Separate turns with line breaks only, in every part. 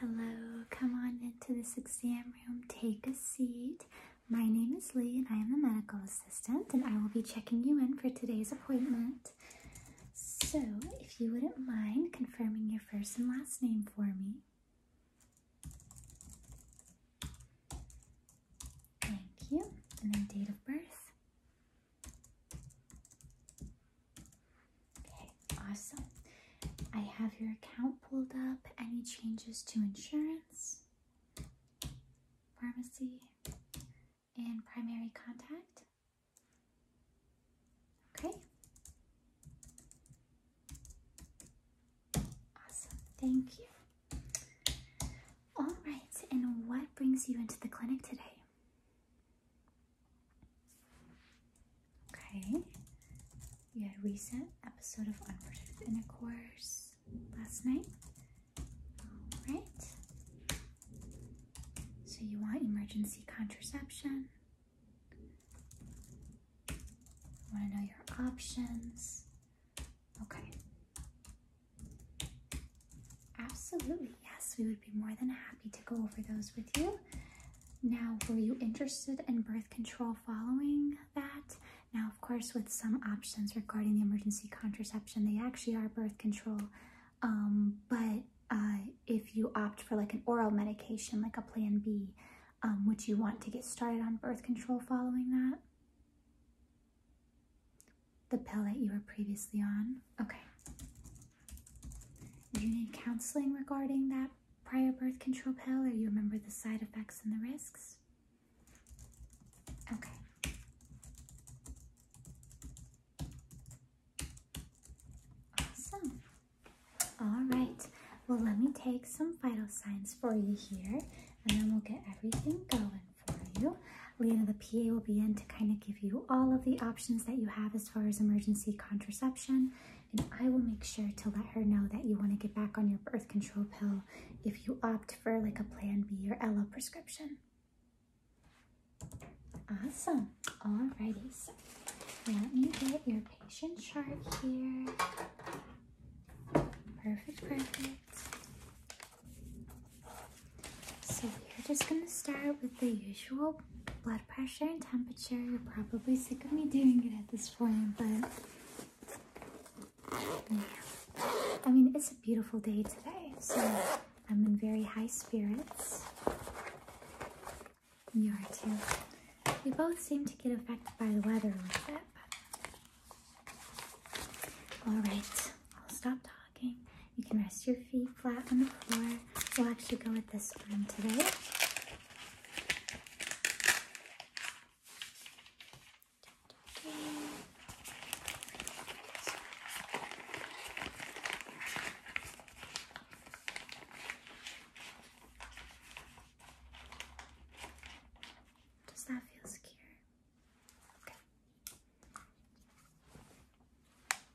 Hello, come on into this exam room. Take a seat. My name is Lee, and I am the medical assistant, and I will be checking you in for today's appointment. So, if you wouldn't mind confirming your first and last name for me. Thank you. And then date of birth. Okay, awesome. I have your account pulled up. Any changes to insurance, pharmacy, and primary contact? Okay. Awesome. Thank you. All right, and what brings you into the clinic today? Okay, you had a recent episode of Unprotected Intercourse last night. Alright, so you want emergency contraception. want to know your options. Okay. Absolutely yes, we would be more than happy to go over those with you. Now, were you interested in birth control following that? Now, of course, with some options regarding the emergency contraception, they actually are birth control. Um, but uh, if you opt for like an oral medication, like a plan B, um, would you want to get started on birth control following that? The pill that you were previously on? Okay. Do you need counseling regarding that prior birth control pill, or you remember the side effects and the risks? Okay. Awesome. All right. Well, let me take some vital signs for you here, and then we'll get everything going for you. Lena, the PA, will be in to kind of give you all of the options that you have as far as emergency contraception. And I will make sure to let her know that you want to get back on your birth control pill if you opt for like a Plan B or Ella prescription. Awesome. Alrighty, so let me get your patient chart here. Perfect, perfect. So we're just gonna start with the usual blood pressure and temperature. You're probably sick of me doing it at this point, but I mean, it's a beautiful day today, so I'm in very high spirits. You are too. We both seem to get affected by the weather a little bit, Alright, I'll stop talking. You can rest your feet flat on the floor. We'll actually go with this one today. Does that feel secure?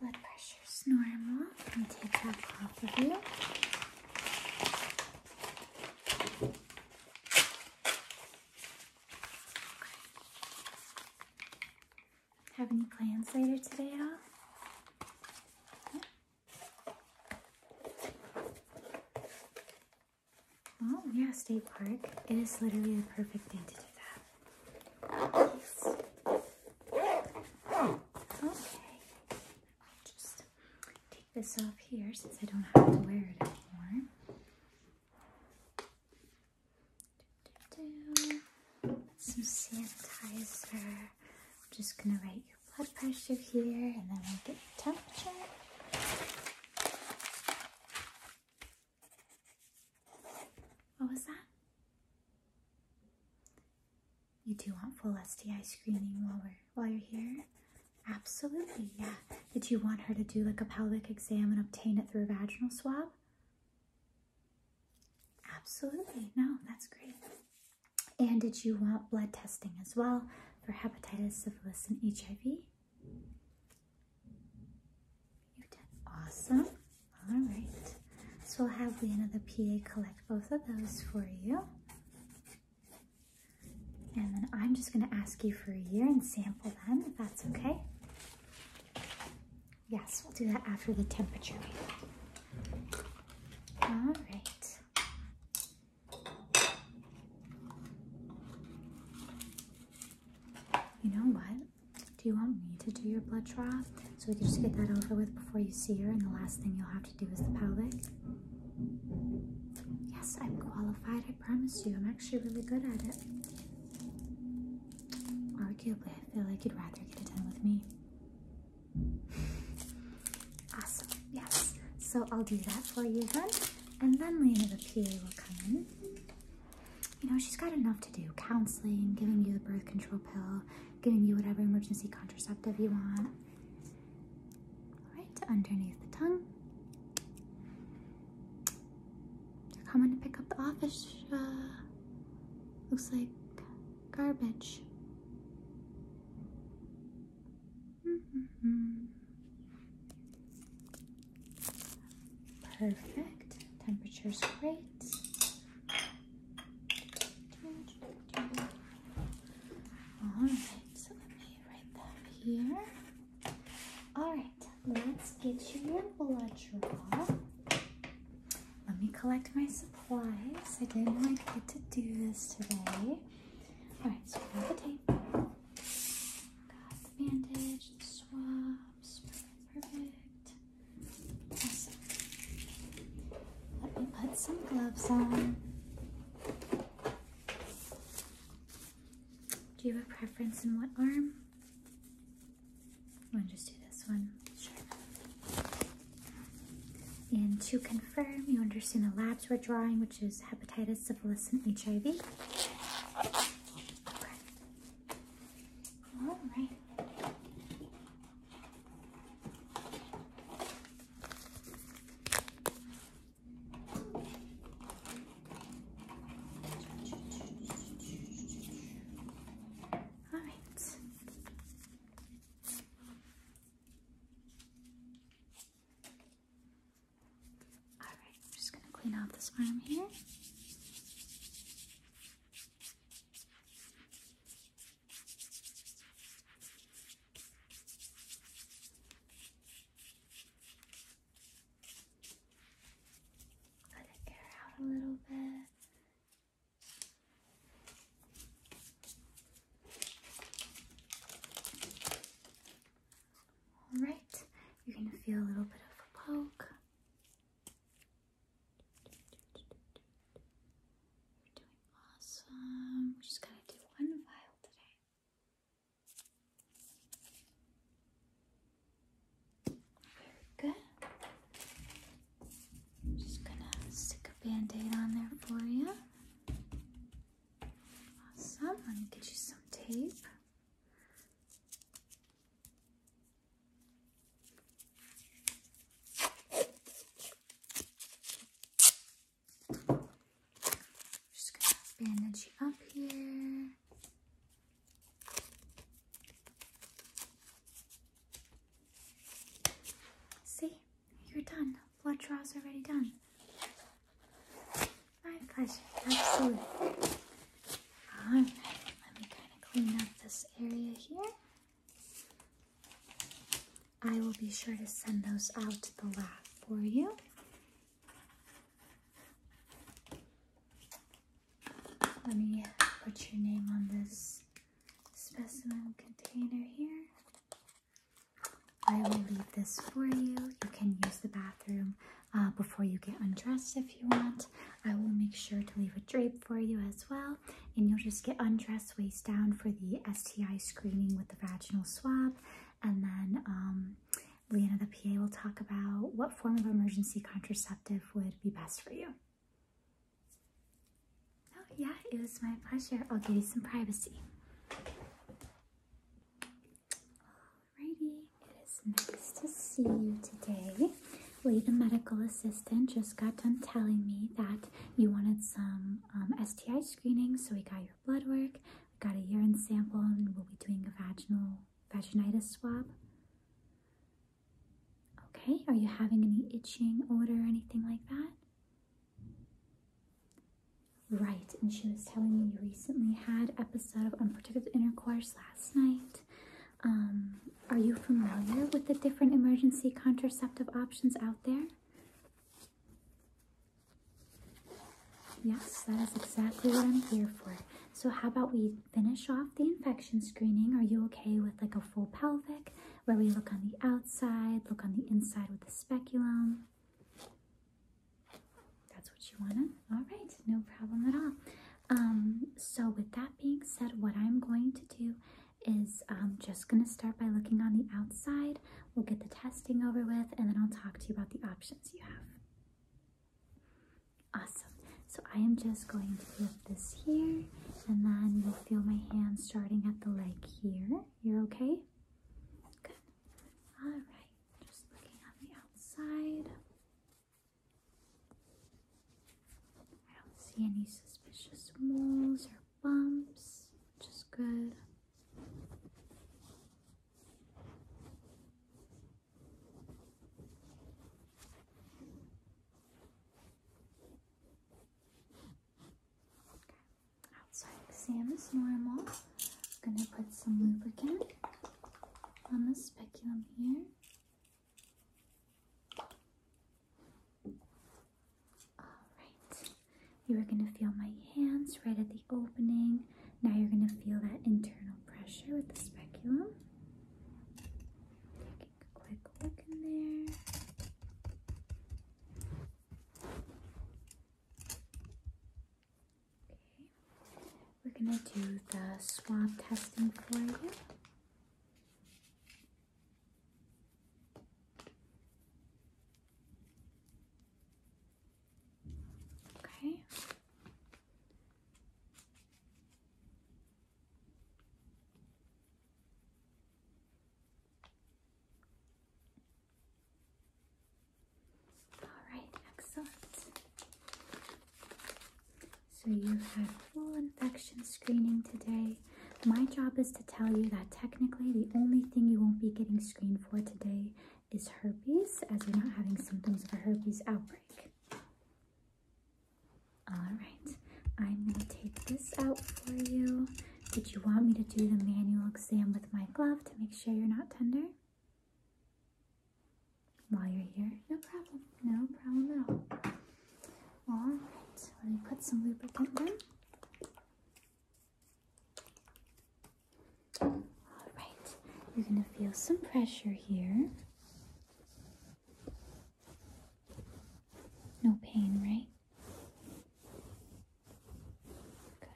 Alright, blood pressure's normal. I'm take that off of you. Have any plans later today at Oh, yeah, State Park. It is literally the perfect thing to do that this off here since I don't have to wear it anymore. Some sanitizer. I'm just gonna write your blood pressure here and then we'll get the temperature. What was that? You do want full STI screening while we're while you're here? Absolutely, yeah. Did you want her to do like a pelvic exam and obtain it through a vaginal swab? Absolutely, no, that's great. And did you want blood testing as well for hepatitis, syphilis, and HIV? You've done awesome. All right. So we'll have Leanna the PA collect both of those for you. And then I'm just going to ask you for a urine sample then, if that's okay. Yes, we'll do that after the temperature All right. You know what? Do you want me to do your blood draw so we can just get that over with before you see her? And the last thing you'll have do with the pelvic. Yes, I'm qualified, I promise you. I'm actually really good at it. Arguably, I feel like you'd rather get it done with me. Awesome, yes. So I'll do that for you then. And then Lena the PA will come in. You know, she's got enough to do. Counseling, giving you the birth control pill, giving you whatever emergency contraceptive you want right underneath the tongue. They're coming to pick up the office. Uh, looks like garbage. Mm-hmm. Perfect. Temperature's great. All right, you write here. Alright, let's get your blood draw. Let me collect my supplies. I didn't like get to do this today. Alright, so we have the tape. Got bandage, the swabs, perfect. Let me put some gloves on. Do you have a preference in what arm? I'm to just do this one. Sure. And to confirm, you understand the labs we're drawing, which is hepatitis, syphilis, and HIV. All right. All right. All right, I'm just going to clean up this arm here. Let it out a little bit. All right, you're going to feel a little bit of a poke. You're doing awesome. We're just going to do one vial today. Very good. just gonna stick a band-aid on there for you. Awesome. Let me get you some tape. Just gonna bandage you up here. See, you're done. Blood draws already done. My pleasure, absolutely. Alright, let me kind of clean up this area here. I will be sure to send those out to the lab for you. Let me put your name on this specimen container here. I will leave this for you. You can use the bathroom uh, before you get undressed if you want. I will make sure to leave a drape for you as well. And you'll just get undressed waist down for the STI screening with the vaginal swab. And then um, Leanna, the PA, will talk about what form of emergency contraceptive would be best for you. Oh, yeah, it was my pleasure. I'll give you some privacy. Alrighty, it is nice to see you today. Lee, the medical assistant, just got done telling me that you wanted some um, STI screening, so we got your blood work. We got a urine sample and we'll be doing a vaginal vaginitis swab. Okay, are you having any itching, odor, or anything like that? Right, and she was telling me you recently had episode of unprotected intercourse last night. Um, are you familiar with the different emergency contraceptive options out there? Yes, that is exactly what I'm here for. So, how about we finish off the infection screening? Are you okay with like a full pelvic where we look on the outside, look on the inside with the speculum? That's what you wanna? right, no problem at all. Um, so, with that being said, what I'm going to do is I'm um, just gonna start by looking on the outside. We'll get the testing over with and then I'll talk to you about the options you have. Awesome. So I am just going to lift this here and then you'll feel my hand starting at the leg here. You're okay? Good. All right. Just looking on the outside. I don't see any suspicious moles or bumps, which is good. Outside exam is normal. I'm going to put some lubricant on the speculum here. All right, you are going to feel my hands right at the opening. Now you're going to feel that internal pressure with the speculum. Taking a quick look in there. Okay. We're going to do the swab testing for you. Okay. All right, excellent. So you had full infection screening today. My job is to tell you that technically the only thing you won't be getting screened for today is herpes, as you're not having symptoms of a herpes outbreak. Alright, I'm going to take this out for you. Did you want me to do the manual exam with my glove to make sure you're not tender? While you're here? No problem. No problem at all. Alright, let me put some lubricant on. All right, you're going to feel some pressure here. No pain, right? Good.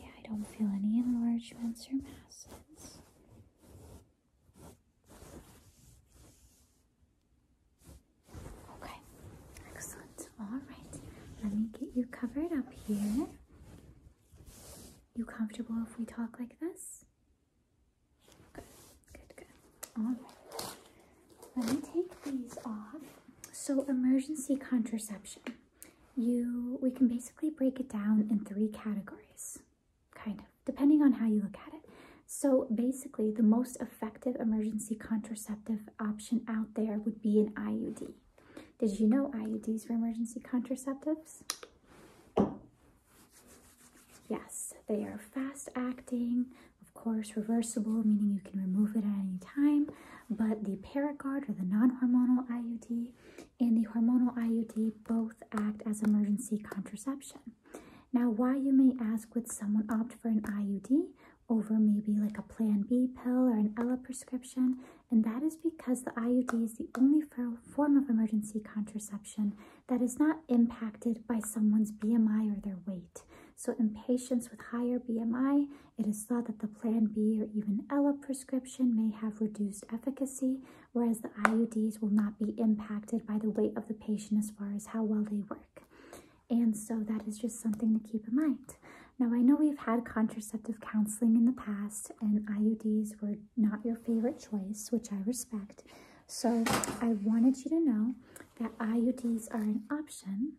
Yeah, I don't feel any enlargements or masses. Okay, excellent. All right, let me get you covered up here. You comfortable if we talk like this? Good, good, good. All right. Let me take these off. So emergency contraception. You, we can basically break it down in three categories, kind of, depending on how you look at it. So basically, the most effective emergency contraceptive option out there would be an IUD. Did you know IUDs were emergency contraceptives? Yes, they are fast acting, of course, reversible, meaning you can remove it at any time. But the Paragard or the non hormonal IUD and the hormonal IUD both act as emergency contraception. Now, why you may ask would someone opt for an IUD over maybe like a Plan B pill or an Ella prescription and that is because the IUD is the only form of emergency contraception that is not impacted by someone's BMI or their weight. So in patients with higher BMI, it is thought that the Plan B or even Ella prescription may have reduced efficacy, whereas the IUDs will not be impacted by the weight of the patient as far as how well they work. And so that is just something to keep in mind. Now, I know we've had contraceptive counseling in the past, and IUDs were not your favorite choice, which I respect. So, I wanted you to know that IUDs are an option,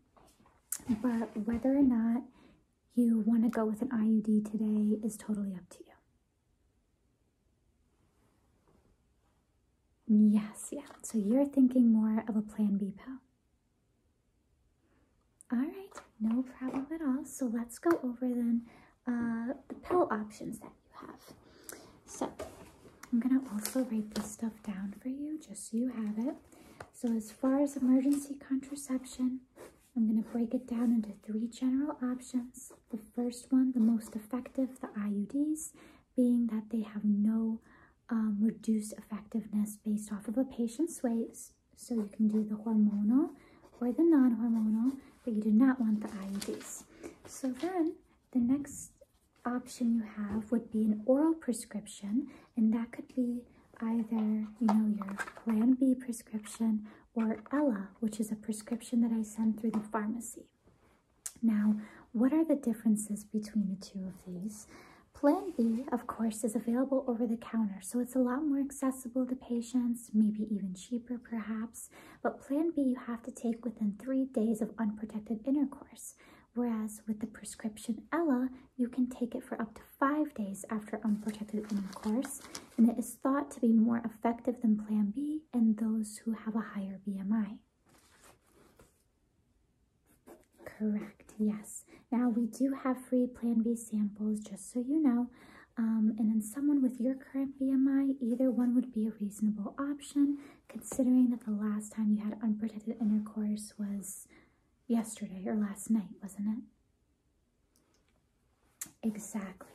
but whether or not you want to go with an IUD today is totally up to you. Yes, yeah. So you're thinking more of a plan B pill. All right, no problem at all. So let's go over then uh, the pill options that you have. So I'm gonna also write this stuff down for you just so you have it. So as far as emergency contraception, I'm gonna break it down into three general options. The first one, the most effective, the IUDs, being that they have no um, reduced effectiveness based off of a patient's weight, so you can do the hormonal or the non-hormonal, but you do not want the IUDs. So then the next option you have would be an oral prescription, and that could be either, you know, your Plan B prescription or Ella, which is a prescription that I send through the pharmacy. Now, what are the differences between the two of these? Plan B, of course, is available over the counter, so it's a lot more accessible to patients, maybe even cheaper perhaps, but Plan B you have to take within three days of unprotected intercourse, whereas with the prescription Ella, you can take it for up to five days after unprotected intercourse, and it is thought to be more effective than Plan B and those who have a higher BMI. Correct, yes. Now we do have free Plan B samples, just so you know. Um, and then someone with your current BMI, either one would be a reasonable option, considering that the last time you had unprotected intercourse was yesterday or last night, wasn't it? Exactly.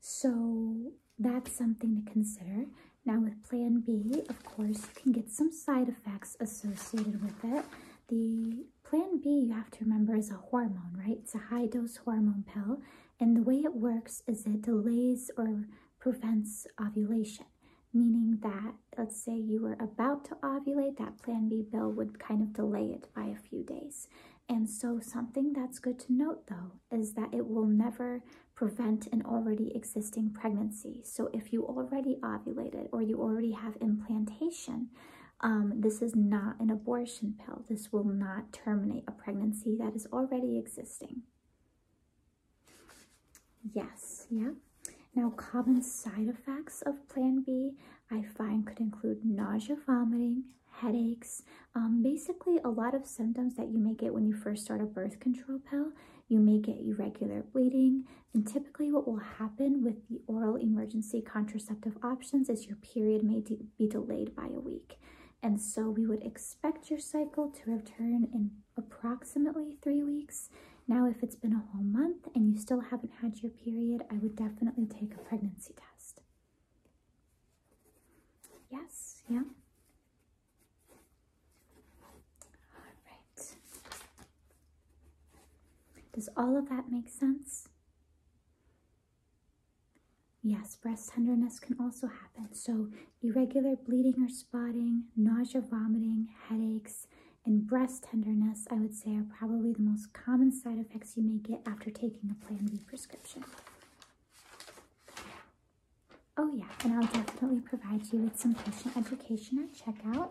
So that's something to consider. Now with Plan B, of course, you can get some side effects associated with it. The plan B, you have to remember, is a hormone, right? It's a high dose hormone pill. And the way it works is it delays or prevents ovulation, meaning that, let's say you were about to ovulate, that plan B pill would kind of delay it by a few days. And so, something that's good to note though is that it will never prevent an already existing pregnancy. So, if you already ovulated or you already have implantation, um, this is not an abortion pill. This will not terminate a pregnancy that is already existing. Yes, yeah. Now, common side effects of Plan B I find could include nausea, vomiting, headaches, um, basically a lot of symptoms that you may get when you first start a birth control pill. You may get irregular bleeding, and typically what will happen with the oral emergency contraceptive options is your period may be delayed by a week. And so we would expect your cycle to return in approximately three weeks. Now, if it's been a whole month and you still haven't had your period, I would definitely take a pregnancy test. Yes, yeah. All right. Does all of that make sense? Yes, breast tenderness can also happen. So, irregular bleeding or spotting, nausea, vomiting, headaches, and breast tenderness, I would say, are probably the most common side effects you may get after taking a Plan B prescription. Oh, yeah, and I'll definitely provide you with some patient education at checkout.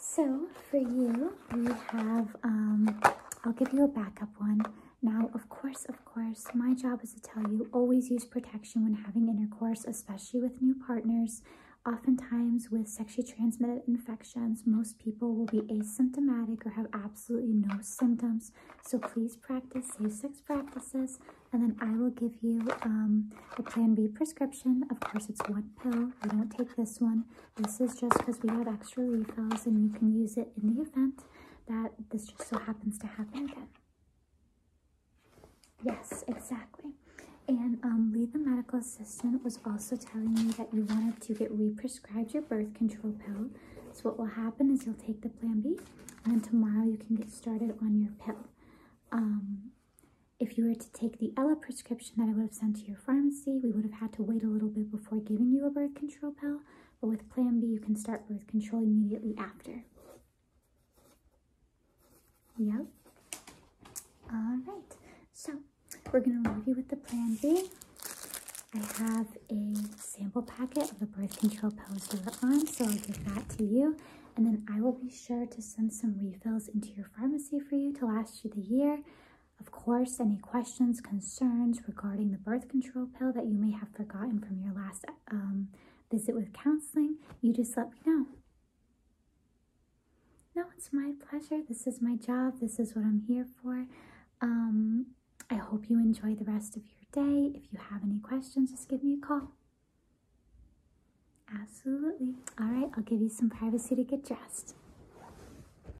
So, for you, we have, um, I'll give you a backup one. Now, of course, of course, my job is to tell you always use protection when having intercourse, especially with new partners. Oftentimes, with sexually transmitted infections, most people will be asymptomatic or have absolutely no symptoms. So please practice safe sex practices, and then I will give you um, a Plan B prescription. Of course, it's one pill. You don't take this one. This is just because we have extra refills and you can use it in the event that this just so happens to happen again. Yes, exactly. And um, Lee, the medical assistant, was also telling me that you wanted to get re-prescribed your birth control pill. So what will happen is you'll take the Plan B, and then tomorrow you can get started on your pill. Um, if you were to take the Ella prescription that I would have sent to your pharmacy. We would have had to wait a little bit before giving you a birth control pill, but with Plan B, you can start birth control immediately after. Yep. All right. So we're going to leave you with the Plan B. I have a sample packet of the birth control pills you were on, so I'll give that to you. And then I will be sure to send some refills into your pharmacy for you to last you the year. Of course, any questions, concerns regarding the birth control pill that you may have forgotten from your last um, visit with counseling, you just let me know. No, it's my pleasure. This is my job. This is what I'm here for. Um, I hope you enjoy the rest of your day. If you have any questions, just give me a call. Absolutely. All right, I'll give you some privacy to get dressed.